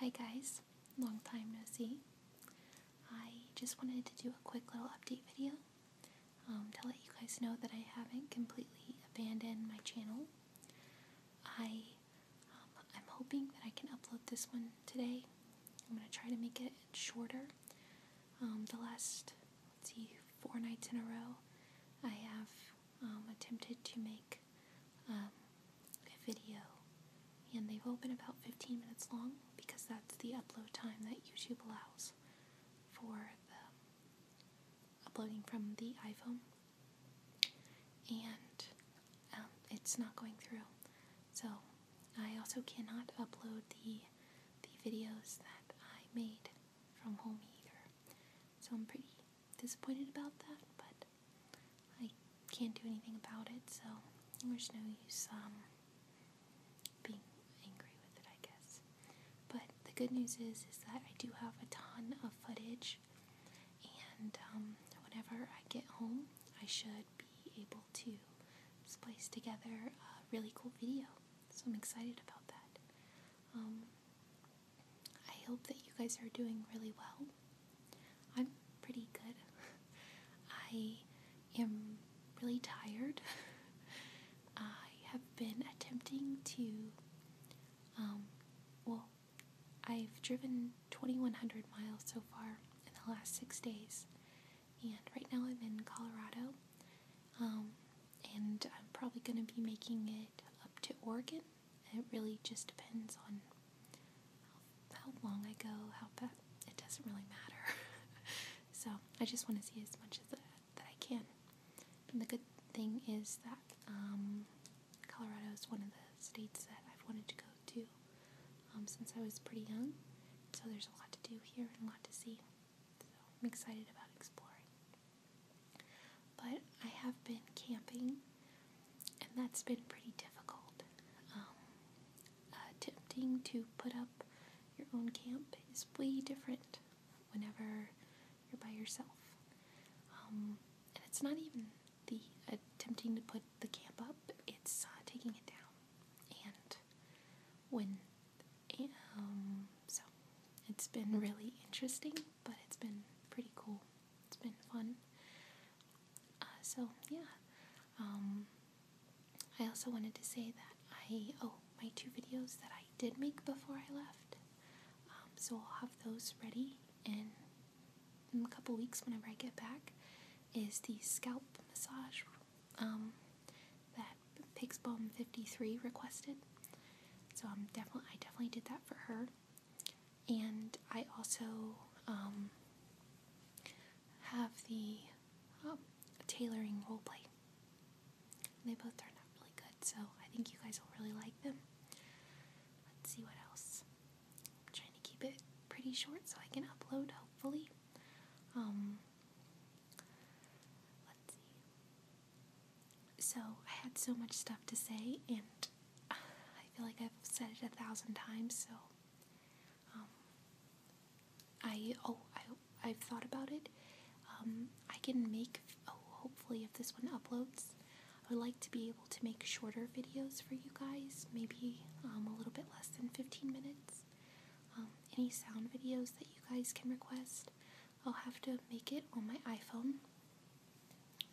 Hi guys, long time no see. I just wanted to do a quick little update video um, to let you guys know that I haven't completely abandoned my channel. I, um, I'm hoping that I can upload this one today. I'm going to try to make it shorter. Um, the last, see, four nights in a row, I have attempted to make um, a video, and they've all been about 15 minutes long because that's the upload time that YouTube allows for the uploading from the iPhone, and um, it's not going through. So I also cannot upload the the videos that I made from home either. So I'm pretty disappointed about that, but I can't do anything about it, so there's no use um, being angry with it, I guess. But the good news is, is that I do have a ton of footage, and um, whenever I get home, I should be able to splice together a really cool video. So I'm excited about that. Um, I hope that you guys are doing really well. I'm pretty good. I am really tired. I have been attempting to, um, well, I've driven 2,100 miles so far in the last six days, and right now I'm in Colorado, um, and I'm probably going to be making it up to Oregon. It really just depends on how, how long I go, how fast. It doesn't really matter. so I just want to see as much as that, that I can. And the good thing is that um, Colorado is one of the states that I've wanted to go to um, since I was pretty young. So there's a lot to do here and a lot to see. I'm excited about exploring. But I have been camping, and that's been pretty difficult. Um, attempting to put up your own camp is way different whenever you're by yourself. Um, and it's not even the attempting to put the camp up, it's uh, taking it down. And when um, so it's been really interesting, but it's been pretty cool. It's been fun. Uh, so yeah. Um, I also wanted to say that I oh my two videos that I did make before I left. Um, so I'll have those ready in, a couple weeks whenever I get back. Is the scalp massage um, that Pig's Pigsbomb53 requested. So I'm definitely I definitely did that for her. And I also um, have the um, tailoring role play. they both turned out really good, so I think you guys will really like them. Let's see what else. I'm trying to keep it pretty short so I can upload, hopefully. Um, so, I had so much stuff to say, and I feel like I've said it a thousand times, so. Um, I, oh, I, I've thought about it. Um, I can make, oh, hopefully, if this one uploads, I would like to be able to make shorter videos for you guys, maybe um, a little bit less than 15 minutes. Um, any sound videos that you guys can request, I'll have to make it on my iPhone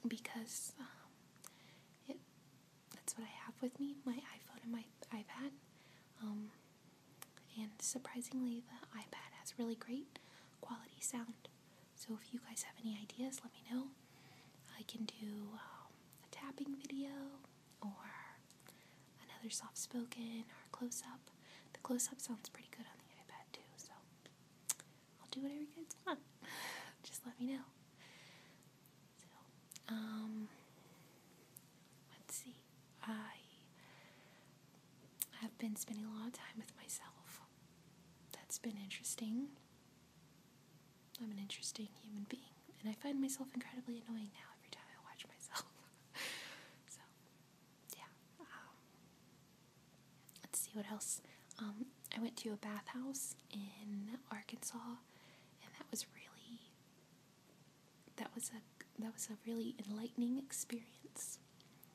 because um, it that's what I have with me my iPhone and my iPad. Um, and surprisingly, the iPad has really great quality sound. So if you guys have any ideas, let me know. I can do a tapping video, or another soft spoken or close up. The close up sounds pretty good on the iPad too, so I'll do whatever you guys want. Just let me know. um, let's see. I have been spending a lot of time with myself. That's been interesting. I'm an interesting human being, and I find myself incredibly annoying now every time I watch myself. so, yeah. Um, let's see what else. Um, I went to a bathhouse in Arkansas, and that was really that was a that was a really enlightening experience.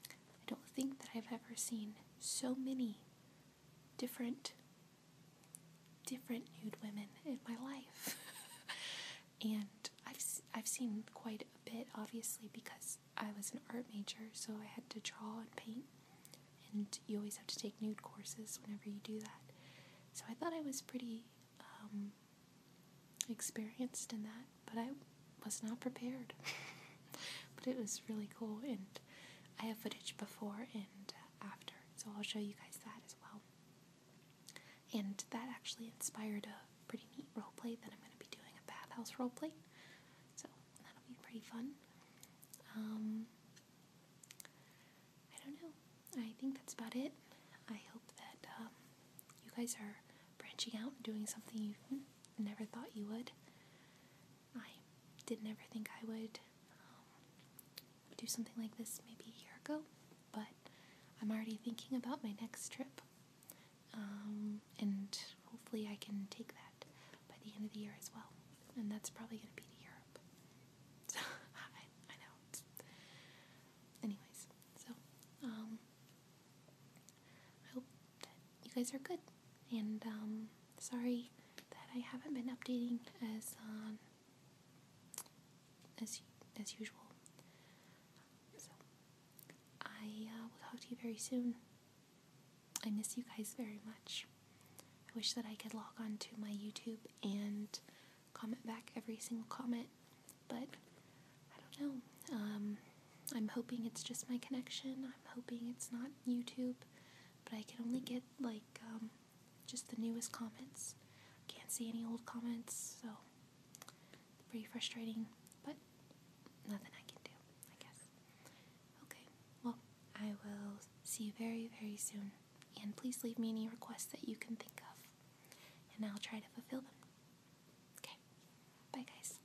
I don't think that I've ever seen so many different different nude women in my life. and I've, I've seen quite a bit, obviously, because I was an art major, so I had to draw and paint. And you always have to take nude courses whenever you do that. So I thought I was pretty um, experienced in that, but I was not prepared. but it was really cool, and I have footage before and uh, after. So I'll show you guys that as well. And that actually inspired a pretty neat role play that I'm going to be doing a bathhouse play, So that'll be pretty fun. Um, I don't know. I think that's about it. I hope that um, you guys are branching out and doing something you never thought you would. I didn't ever think I would um, do something like this maybe a year ago, but I'm already thinking about my next trip. Um, and hopefully, I can take that by the end of the year as well. And that's probably going to be to Europe. So, I, know. Anyways, so um, I hope that you guys are good. And sorry that I haven't been updating as um, as as usual. I uh, will talk to you very soon. I miss you guys very much. I wish that I could log on to my YouTube and comment back every single comment, but I don't know. Um, I'm hoping it's just my connection. I'm hoping it's not YouTube but I can only get like um, just the newest comments. Can't see any old comments, so pretty frustrating. But nothing I can do, I guess. Okay, well, I will see you very, very soon. And please leave me any requests that you can think of, and I'll try to fulfill them. Okay, bye guys.